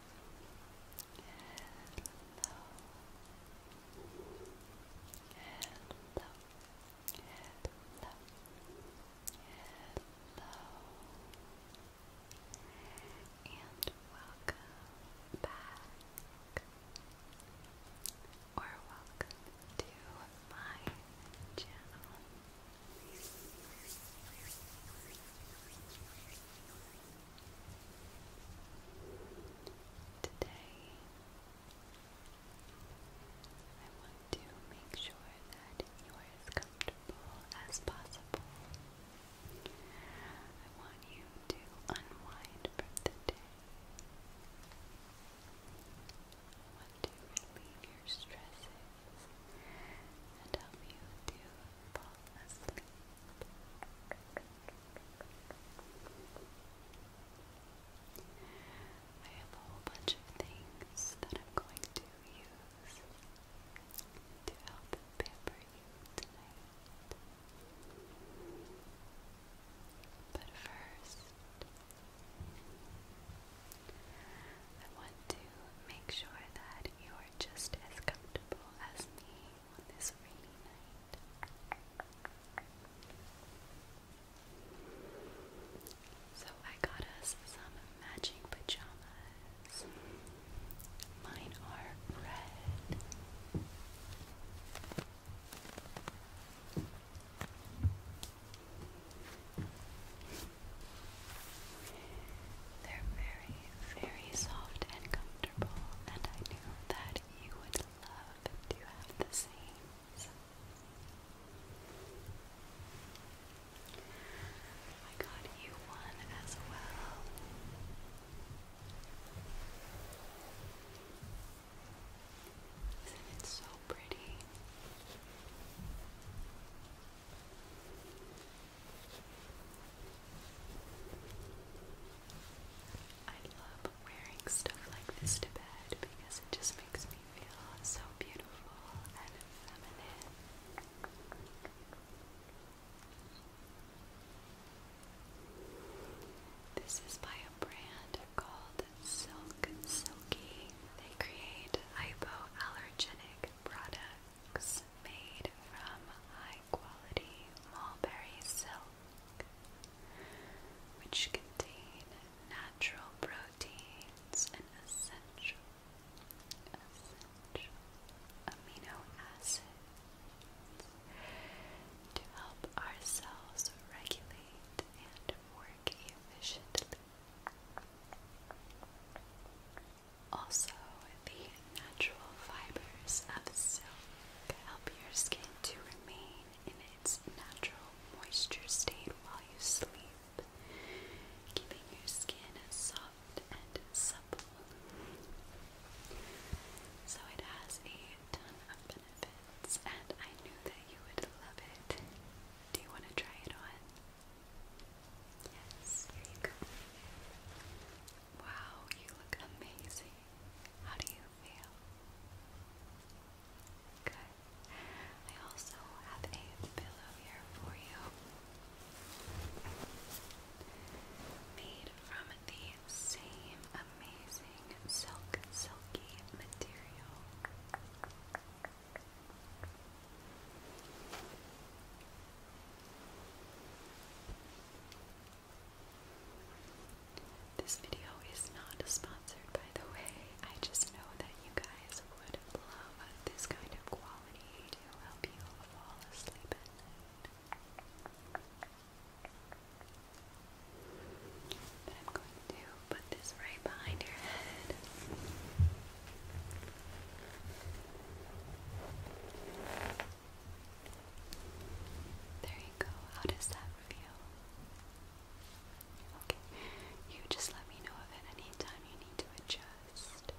and welcome back, or welcome to my channel. Today, I want to make sure that you are as comfortable as possible. I want you to unwind from the day. want to relieve your stresses and help you to fall asleep. I have a whole bunch of things that I'm going to use to help pamper you tonight. But first, I want to make sure that your just as comfortable as me on this rainy night. So I got us some matching pajamas. Mine are red. They're very, very soft and comfortable, and I knew that you would love to have the same. So. I got you one as well. Isn't it so pretty? I love wearing stuff like this to bed because it just makes me feel so beautiful and feminine. This is by a brand called Silk and Silky. They create hypoallergenic products made from high quality mulberry silk, which contain natural proteins and essential, essential amino acids to help our cells regulate and work efficiently. Also, the natural fibers of silk help your skin to remain in its natural moisture state while you sleep, keeping your skin soft and supple. So, it has a ton of benefits, and I knew that you would love it. Do you want to try it on? Yes, here you go. Wow, you look amazing. How do you feel? Good. I also have a pillow here for you. Made from the same amazing silk, silky material. This video is not sponsored, by the way. I just know that you guys would love this kind of quality to help you fall asleep But I'm going to put this right behind your head. There you go. How does that feel? Okay. You just let me know if at any you need to adjust.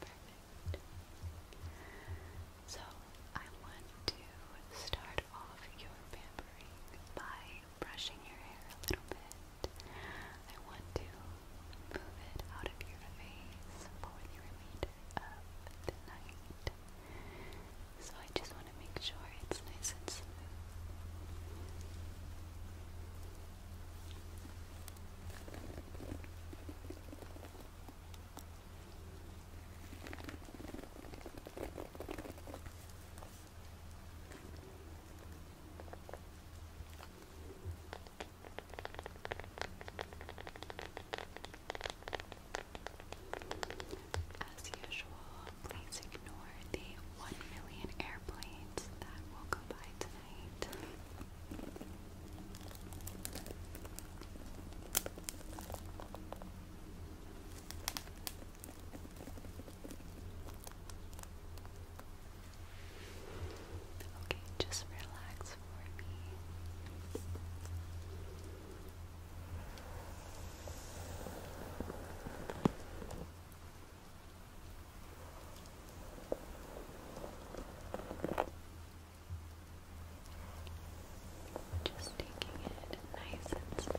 Perfect. So, I want to start off your pampering by brushing your hair a little bit. I want to Move it out of your face for the remainder of the So I just want to make sure it's nice and smooth. As usual, please ignore the 1 million airplanes that will go by tonight. Okay, just relax for me. Just taking it nice and slow.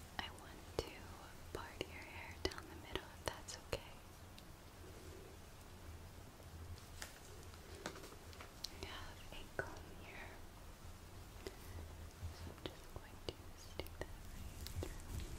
I want to part your hair down the middle if that's okay. I have a comb here. So I'm just going to stick that through. Okay.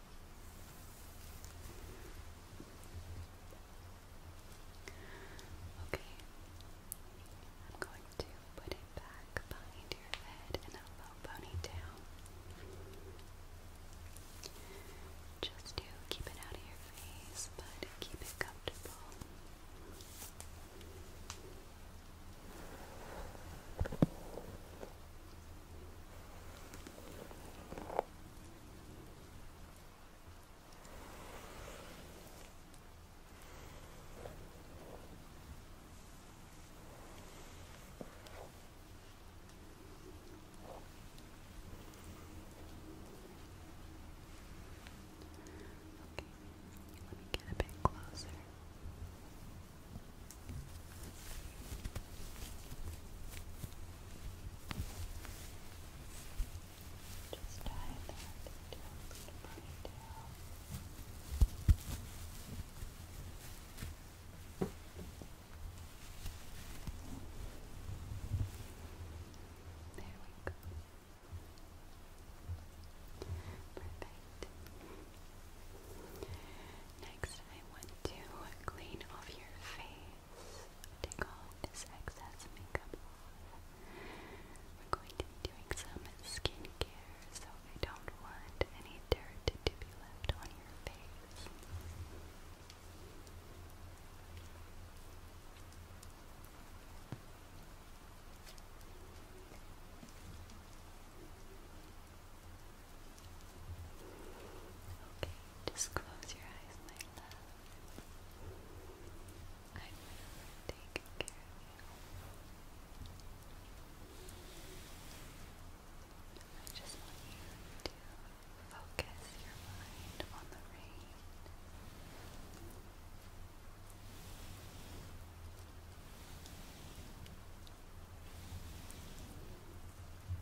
Okay, I'm going to put it back behind your head in a low ponytail. Just to keep it out of your face, but keep it comfortable. Okay, let me get a bit closer. Okay. Just tie that into a little ponytail. There we go. Perfect. Next, I want to clean off your face. Take all this excess makeup off. We're going to be doing some skincare, so I don't want any dirt to be left on your face. Okay, just close your eyes, my love. I take care of you. I just want you to focus your mind on the rain.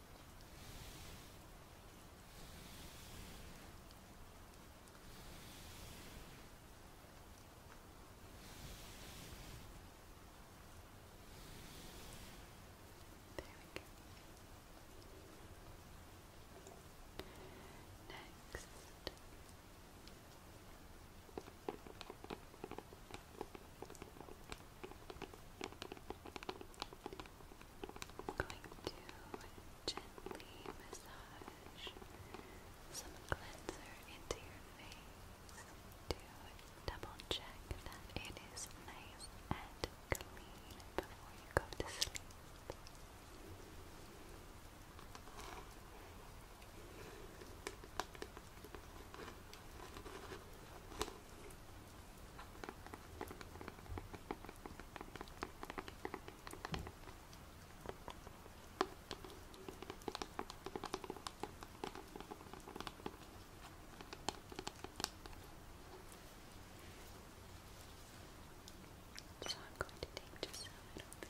we go. Next. I'm going to gently massage some cleanser into your face to double check that it is nice and clean before you go to sleep. So I'm going to take just a little bit.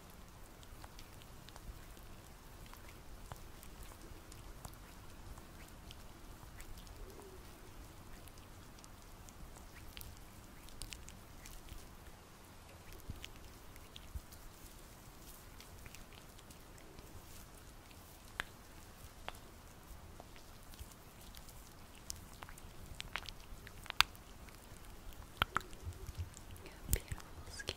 Beautiful skin. Beautiful skin.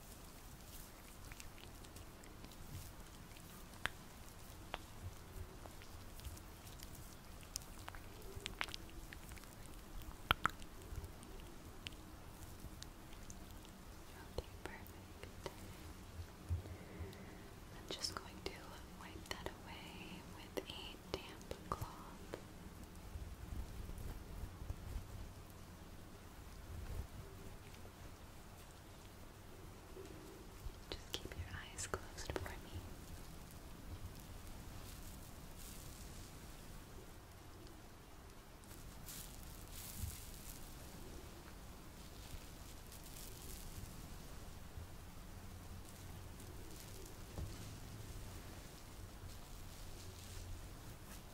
Okay, perfect. I'm just going to wipe that away with a damp cloth. Just keep your eyes closed for me.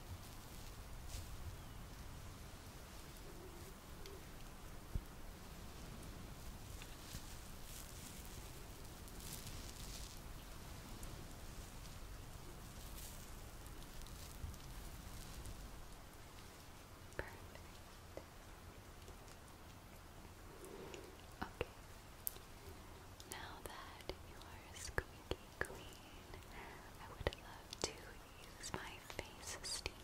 Perfect. Okay. Now that you are squeaky queen. I would love to use my face steamer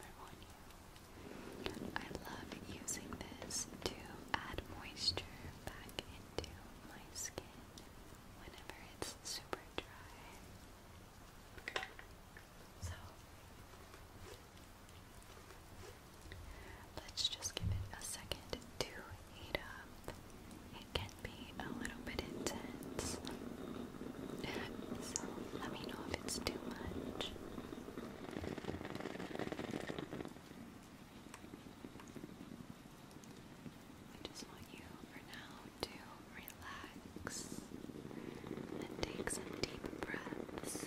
I love using this to add moisture back into my skin whenever it's super dry. So, let's just give it a second to heat it can be a little bit intense. so let me know if it's too much. I just want you for now to relax and take some deep breaths.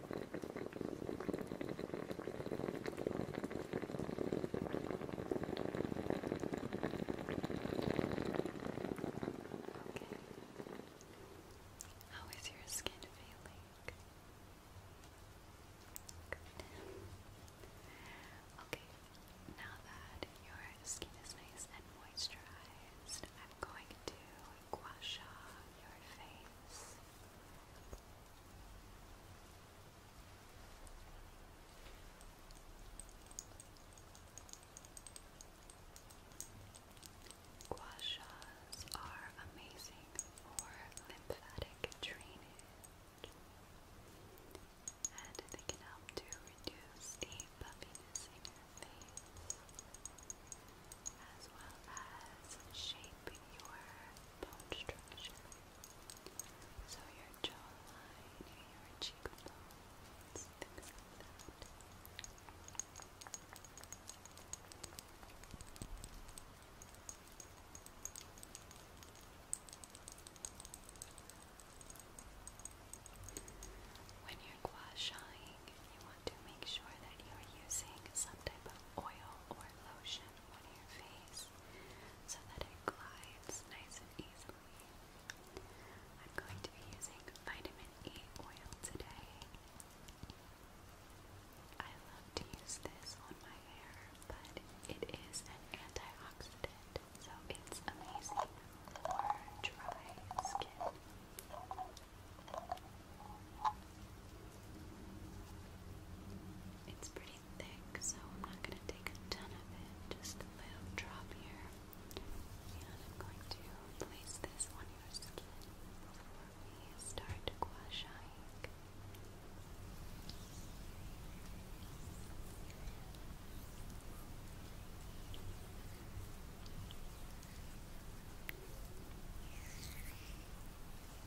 How is your skin feeling? Okay, now that your skin is nice and moisturized, I'm going to wash off your face. Gua shas are amazing for lymphatic drainage, and they can help to reduce the puffiness in your face, as well as shape your bone structure. So your jawline, your cheekbones, things like that. When you're gua-shaing, you want to make sure that you are using some type of oil or lotion on your face so that it glides nice and easily. I'm going to be using vitamin E oil today. I love to use this on my hair, but it is an antioxidant, so it's amazing for dry skin. It's pretty thick, so I'm not going to take a ton of it, just a little drop here. And I'm going to place this on your skin before we start gouaching. Okay,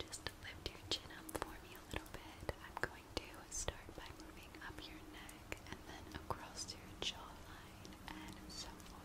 Just lift your chin up for me a little bit. I'm going to start by moving up your neck and then across your jawline and so forth.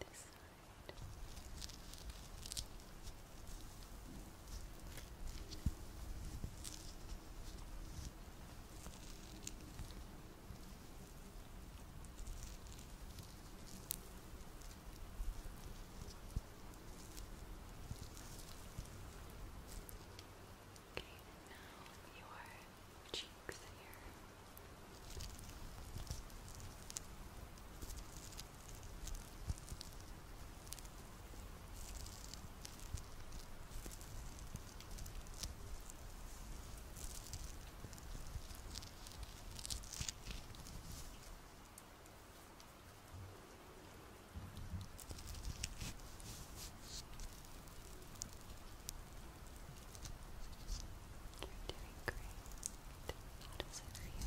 this side. Okay, Okay, and now your cheeks here doing great. How does it feel? Good. Okay.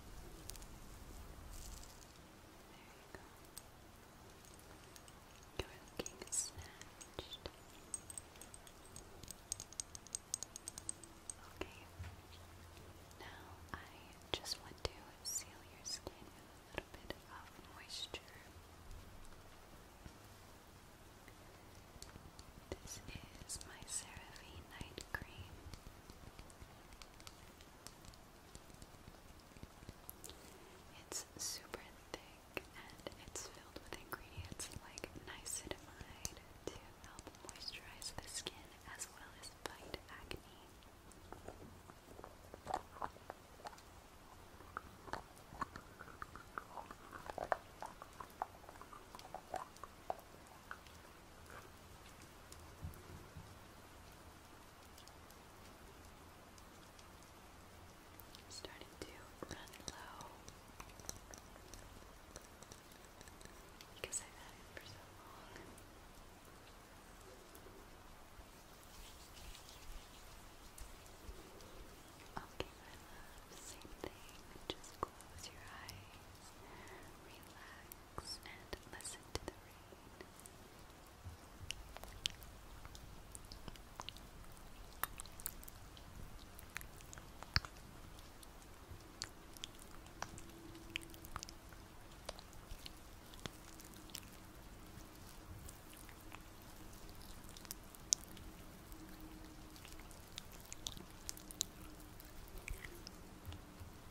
you go. looking snatched. Okay. Now I just want to seal your skin with a little bit of um, moisture. This is my CeraVe Night Cream. It's super thick and it's filled with ingredients like niacinamide to help moisturize the skin as well as fight acne. Starting to run low because I've had it for so long. Okay, same thing. Just close your eyes, relax, rocks and listen to the rain.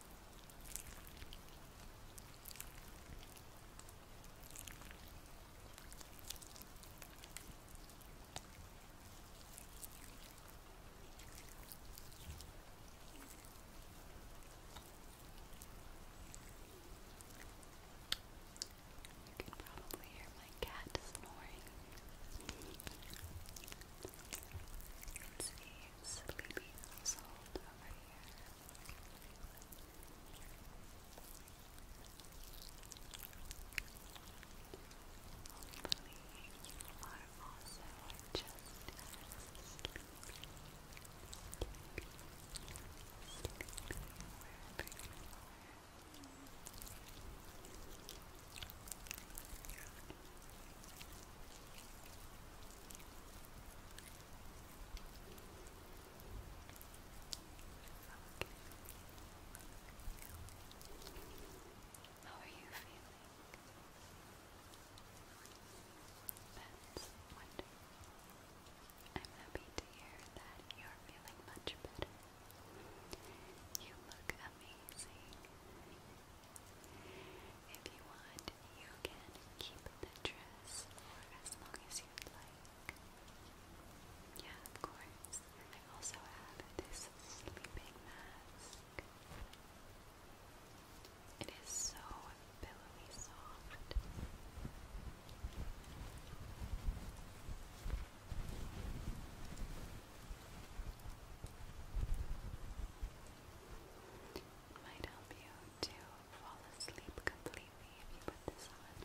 You can probably hear my cat snoring. Let's see sleepy household over here. Hopefully, you are also just as sleepy, how are you feeling? That's wonderful. I'm happy to hear that you're feeling much better. You look amazing. If you want, you can keep the dress for as long as you'd like. Yeah, of course. I also have this sleeping mask. It is so pillowy soft might help you to fall asleep completely if you put this on.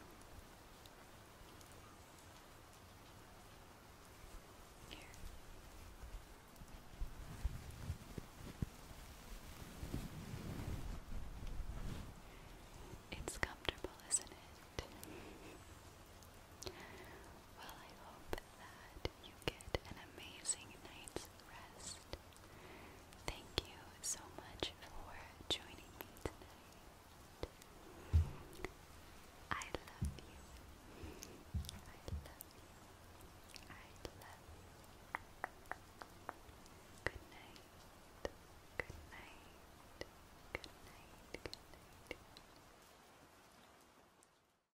It's comfortable, isn't it? well, I hope that you get an amazing night's rest. Thank you so much for joining me tonight. I love you. I love you. I love you. Good night. Good night. Good night. Good night.